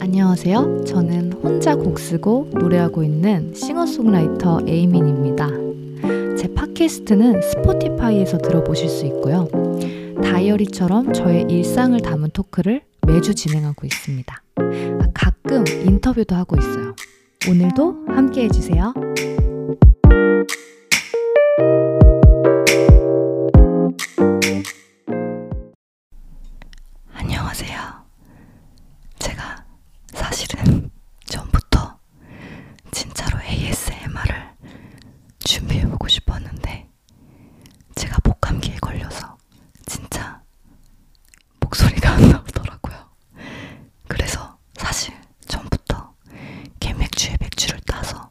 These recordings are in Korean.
안녕하세요. 저는 혼자 곡 쓰고 노래하고 있는 싱어송라이터 에이민입니다. 제 팟캐스트는 스포티파이에서 들어보실 수 있고요. 다이어리처럼 저의 일상을 담은 토크를 매주 진행하고 있습니다. 가끔 인터뷰도 하고 있어요. 오늘도 함께 해주세요. 안녕하세요. 제가 사실은 전부터 진짜로 ASMR을 준비해보고 싶었는데 제가 목감기에 걸려서 진짜 목소리가 안 나오더라고요. 그래서 사실 전부터 캔맥주에 맥주를 따서 통해서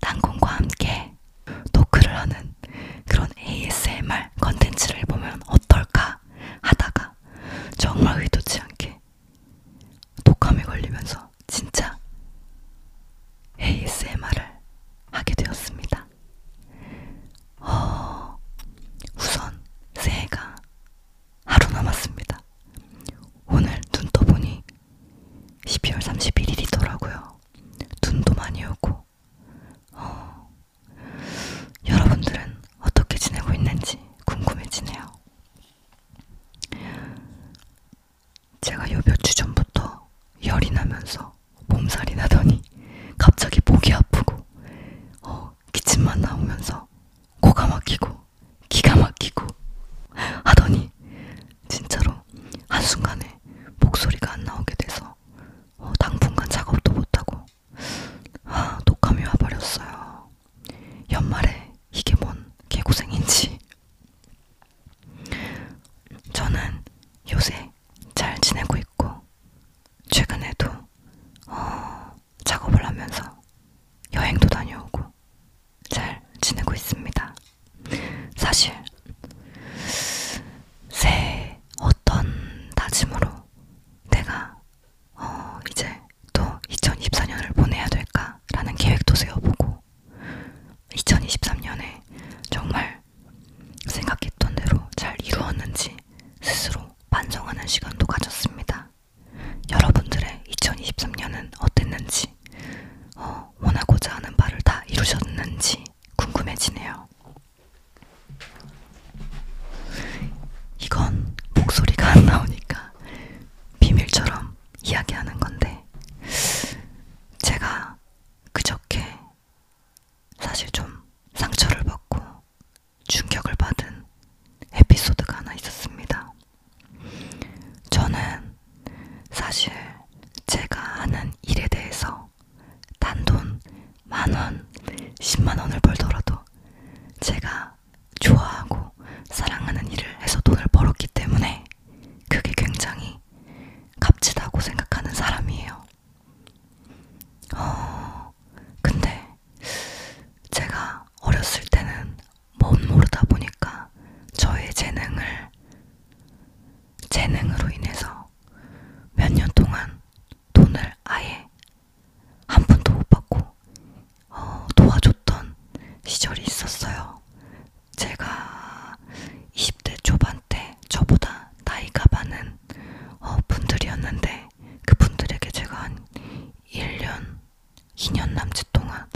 땅콩과 함께 토크를 하는 그런 ASMR 컨텐츠를 보면 어떨까 하다가 정말 의도치 않게 독감에 걸리면서 진짜 ASMR을 하게 되었습니다. 어, 우선 새해가 하루 남았습니다. 오늘 눈 떠보니 12월 31일이더라고요. 눈도 많이 오고, 어, 여러분들은 어떻게 지내고 있는지 궁금해지네요. 제가 요 며칠 전부터 열이 나면서 몸살이 나더니 갑자기 목이 아프고, 어, 기침만 나오면서 코가 막히고, 기가 막히고 하더니 진짜로 한순간에 목소리가 안 나오게 돼서 어, 당분간 작업도 못하고 아, 독감이 와버렸어요. 연말에 이게 뭔 개고생인지. 저는 요새 잘 지내고 있고, 최근에도 어, 작업을 하면서 여행도 다녀오고, 있어요. 잘 지내고 있습니다. 사실 새해 어떤 다짐으로 내가 어 이제 또 2024년을 보내야 될까라는 계획도 세워보고 2023년에 정말 생각했던 대로 잘 이루었는지 스스로 반성하는 시간도 가졌습니다. 여러분들의 2023년은 어땠는지 하셨는지, 어, 원하고자 하는 바를 다 이루셨는지 궁금해지네요. 이건 목소리가 안 나오니까 비밀처럼 이야기하는 건데, 제가 그저께 사실 좀 상처를 받고 충격을 받은 에피소드가 하나 있었습니다. 저는 사실 제가 하는 일에 대해서 단돈 만원, 십만원을 벌더라도 제가 좋아하고 사랑하는 일을 해서 돈을 벌었기 때문에 그게 굉장히 값지다고 생각하는 사람이에요. 어, 근데 제가 어렸을 때는 못 모르다 보니까 저의 재능을 재능으로 인해서 몇 년 동안 돈을 아예 한 푼도 못 받고 어, 도와줬던 시절이 있었어요. 제가 20대 초반 때 저보다 나이가 많은 어, 분들이었는데 그분들에게 제가 한 1년 2년 남짓 동안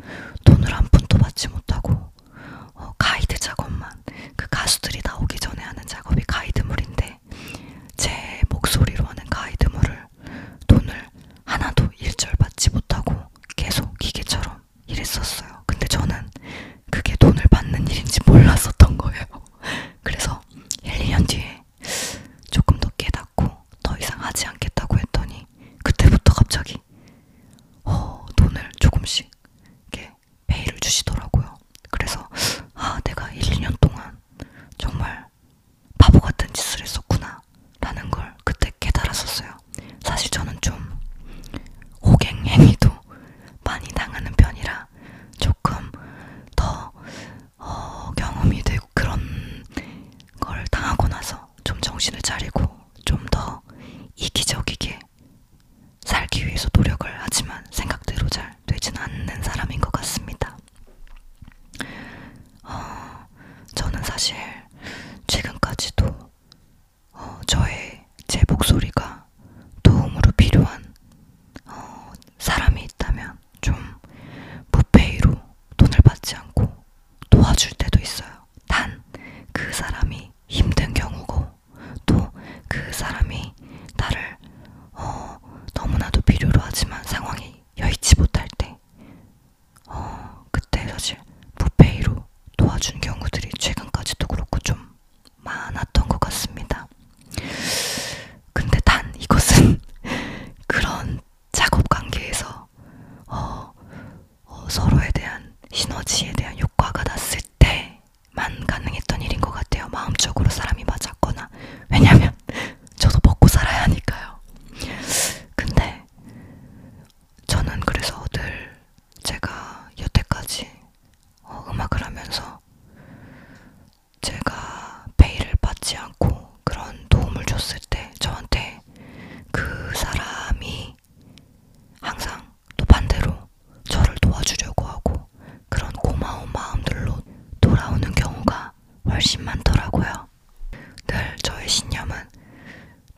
돈을 한 푼도 받지 못하고 어, 가이드 작업만 그 가수들이 나오기 전에 하는 작업이 가이드물인데 제 목소리로 하는 가이드물을 돈을 하나도 일절 받지 못하고 계속 기계처럼 일했었어요. 근데 저는 그게 돈을 받는 일인지 몰랐었던 거예요. 그래서 1, 2년 뒤에 조금 더 깨닫고 어, 더 이상 하지 않겠다고 했더니 그때부터 갑자기 어, 돈을 조금씩 이렇게 페이를 주시더라고요. 그래서 아 내가 1, 2년 동안 정말 바보 같은 짓을 했었구나 라는 걸 그때 깨달았었어요. 사실 저는 좀 호갱 행위도 많이 당하는 편이라 조금 더 어, 경험이 되고 그런 걸 당하고 나서 좀 정신을 차리고 좀 더 이기적이게 살기 위해서 노력을 하지만 생각대로 잘 되진 않는 사람인 것 같습니다. 어, 저는 사실 최근까지도 어, 저의 제 목소리가 도움으로 필요한 어, 사람이 있다면 좀 무페이로 돈을 받지 않고 도와줄 때도 있어요. 단 그 사람이 힘든 경우고 또 그 사람이 나를 어, 너무나도 필요로 하지만 상황이 여의치 못할 때 어, 그때 사실 무페이로 도와준 경우들이 최근까지도 그렇고 좀 많았던 것 같습니다. 근데 단 이것은 그런 작업 관계에서 어, 어, 서로에 대한 시너지에 대한 효과가 났을 때만 가능했던 일인 것 같아요. 마음적으로 사람이 맞았거나 왜냐면 저도 먹고 살아야 하니까요. 근데 저는 그래서 늘 제가 여태까지 어, 음악을 하면서 제가 페이를 받지 않고 그런 도움을 줬을 때 저한테 그 사람이 항상 또 반대로 저를 도와주려고 하고 그런 고마운 마음들로 돌아오는 경우가 훨씬 많더라고요. 늘 저의 신념은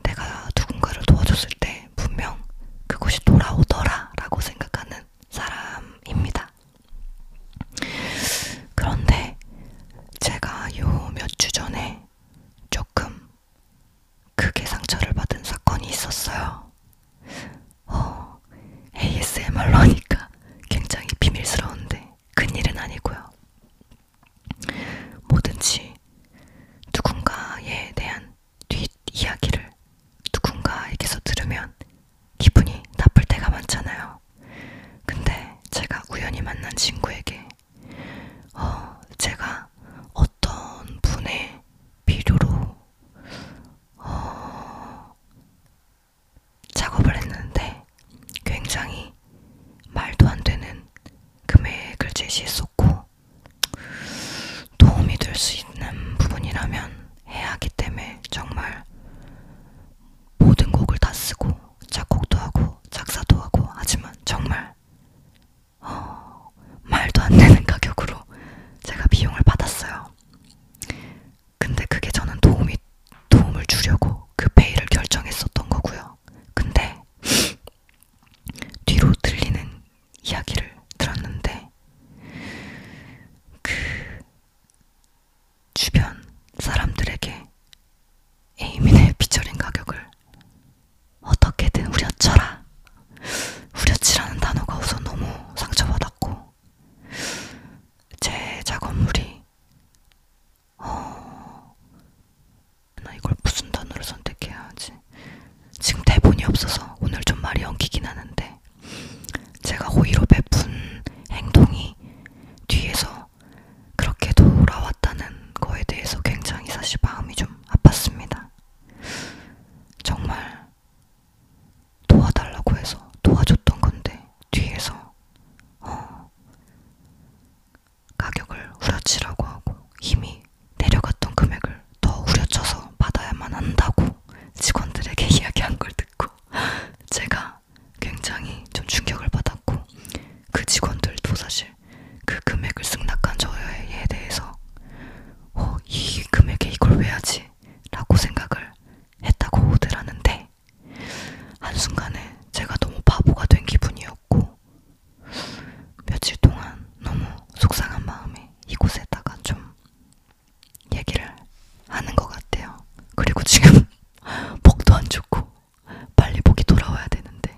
내가 누군가를 도와줬을 때 분명 그곳이 돌아오더라 라고 생각하는 사람입니다. 있습니다. 그런데 제가 요 몇 주 전에 조금 크게 상처를 받은 사건이 있었어요. 어, ASMR로니까 굉장히 비밀스러운데 큰일은 아니고요. 뭐든지 누군가에 대한 뒷이야기를 누군가에게서 들으면 기분이 나쁠 때가 많잖아요. 근데 제가 우연히 만난 친구에게 어, 제가 어떤 분의 필요로 어, 작업을 했는데 굉장히 말도 안 되는 금액을 제시했었고 도움이 될 수 있는 부분이라면 해야 하기 때문에 정말 모든 곡을 다 쓰고 작곡도 하고 작사도 하고 하지만 정말 어, 말도 안 되는 가격으로 제가 비용을 받았어요. 근데 그게 저는 도움이 도움을 주려고 그 페이를 결정했었던 거고요. 근데 뒤로 들리는 이야기를 들었는데 그 주변 사람들에게 에이민의 피처링 가격을 어떻게든 후려쳐라. 후려치라는 단어가 우선 너무 상처받았고, 제 작업물이, 어, 나 이걸 무슨 단어를 선택해야 하지? 지금 대본이 없어서 오늘 좀 말이 엉키긴 하는데, 있는데 제가 호의로 베푼 행동이 뒤에서 그렇게 돌아왔다는 거에 대해서 굉장히 사실 마음이 좀 아팠습니다. 정말 도와달라고 해서 도와줬던 건데 뒤에서 어, 가격을 후려치라고 하고 이미 내려갔던 금액을 더 후려쳐서 받아야만 한다고 직원들에게 이야기한 걸 듣고 제가 굉장히 좀 충격을 받았고 그 직원들도 사실 그 금액을 승낙한 저에 대해서 어, 이 금액에 이걸 왜 하지? 라고 생각을 했다고 호들 하는데 한순간에 제가 너무 바보가 된 기분이었고 며칠 동안 너무 속상한 마음에 이곳에다가 좀 얘기를 하는 것 같아요. 그리고 지금 목도 안 좋고 빨리 목이 돌아와야 되는데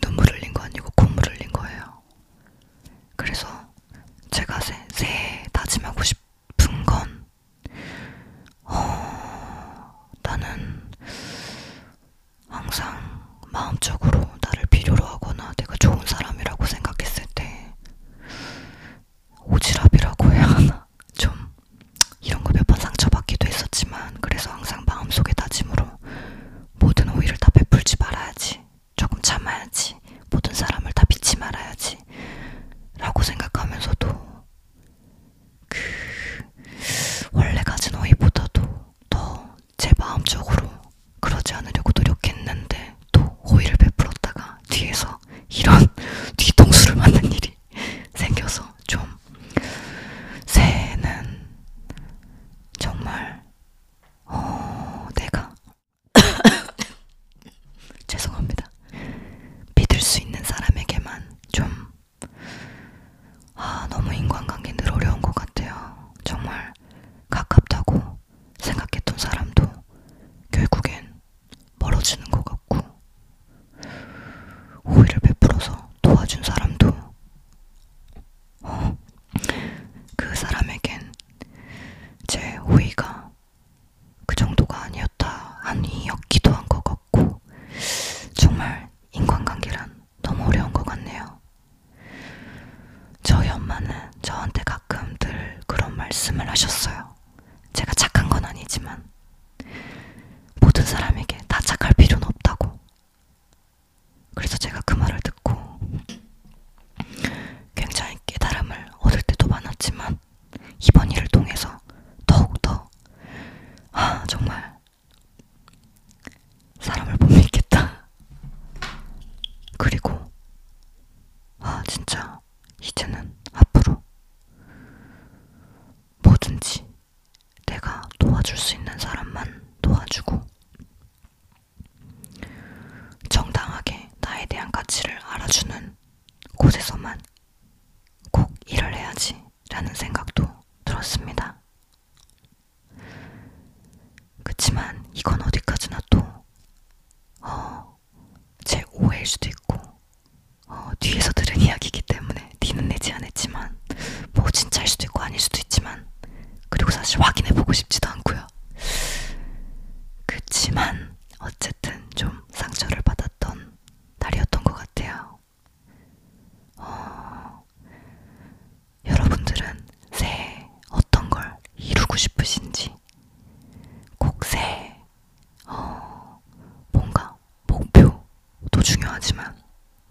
눈물 흘린 거 아니고 콧물 흘린 거예요. 그래서 제가 새, 새해 다짐하고 싶은 건 어, 나는 항상 마음적으로 나를 필요로 하거나 내가 좋은 사람이라고 생각했을 때 오지랖이라고 해야 하나 좀 이런 거 몇 번 상처받기도 했었지만 그래서 항상 마음속에 다짐으로 모든 오해를 다 베풀지 말아야지 조금 참아야지 모든 사람을 다 믿지 말아야지 라고 생각하면서도 그 원래 가진 어이보다도 더제 마음적으로 그러지 않으려고 노력했는데 또 호의를 베풀었다가 뒤에서 이런 뒤통수를 맞는 일이 생겨서 좀 새해는 정말 어 내가 죄송합니다 믿을 수 있는 사람에게만 좀 아, 너무 인간관계 늘 어려운 것 같아요. 정말 가깝다고 생각했던 사람도 결국엔 멀어지는 것 같고, 호의를 베풀어서 도와준 사람도, 어, 그 사람에겐 제 호의가 그 정도가 아니었다, 아니었기도 한 것 같고, 정말 인간관계란 너무 어려운 것 같네요. 저희 엄마는 저한테 가끔 늘 그런 말씀을 하셨어요. 제가 착한 건 아니지만, 모든 사람에게 다 착할 필요는 없다고. 그래서 제가 그 말을 듣고 굉장히 깨달음을 얻을 때도 많았지만, 이번 일을 통해서 더욱더, 아, 정말 사람을 못 믿겠다. 그리고 아 진짜 이제는 앞으로 뭐든지 내가 도와줄 수 있는 사람만 도와주고 정당하게 나에 대한 가치를 알아주는 곳에서만 꼭 일을 해야지. 라는 생각도 들었습니다. 그치만 이건 어디까지나 또, 어, 제 오해일 수도 있고, 어, 뒤에서 들은 이야기이기 때문에 니는 내지 않았지만, 뭐 진짜일 수도 있고 아닐 수도 있지만, 그리고 사실 확인해보고 싶지도 않고요. 그치만 어쨌든 좀 상처를 받았던 날이었던 것 같아요. 어, 여러분들은 새해 어떤 걸 이루고 싶으신지 꼭 새해 어, 뭔가 목표도 중요하지만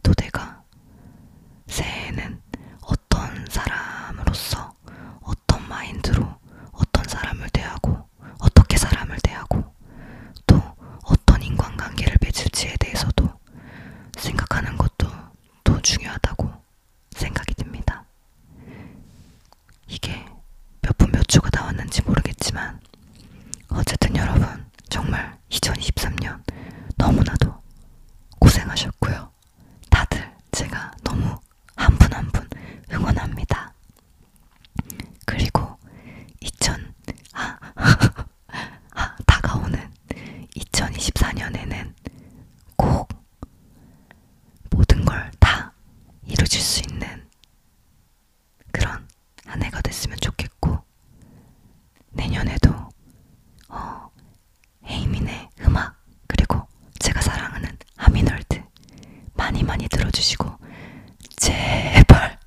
또 내가 새해에는 어떤 사람으로서 어떤 마인드로 어떤 사람을 대하고 어떻게 사람을 대하고 또 어떤 인간관계를 맺을지에 대해서도 생각하는 것도 더 중요하다고 생각이 듭니다. 이게 몇 분 몇 주가 나왔는지 모르겠지만 어쨌든 여러분 정말 2023년 너무나도 고생하셨고요. 다들 제가 너무 한 분 한 분 응원합니다. 그리고 2000 아, 아, 다가오는 2024년에는 꼭 모든 걸 다 이루질 수 있는 그런 한 해가 됐으면 좋겠고 내년에도 어, 에이민의 음악 그리고 제가 사랑하는 하민월드 많이 많이 들어주시고 제발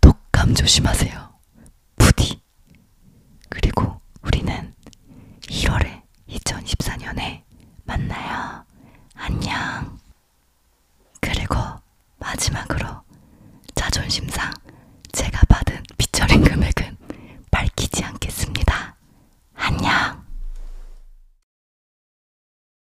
독감 조심하세요. 부디. 그리고 우리는 1월에 2014년에 만나요. 안녕. 그리고 마지막으로 자존심상 제가 받은 피처링 금액은 밝히지 않겠습니다. 안녕.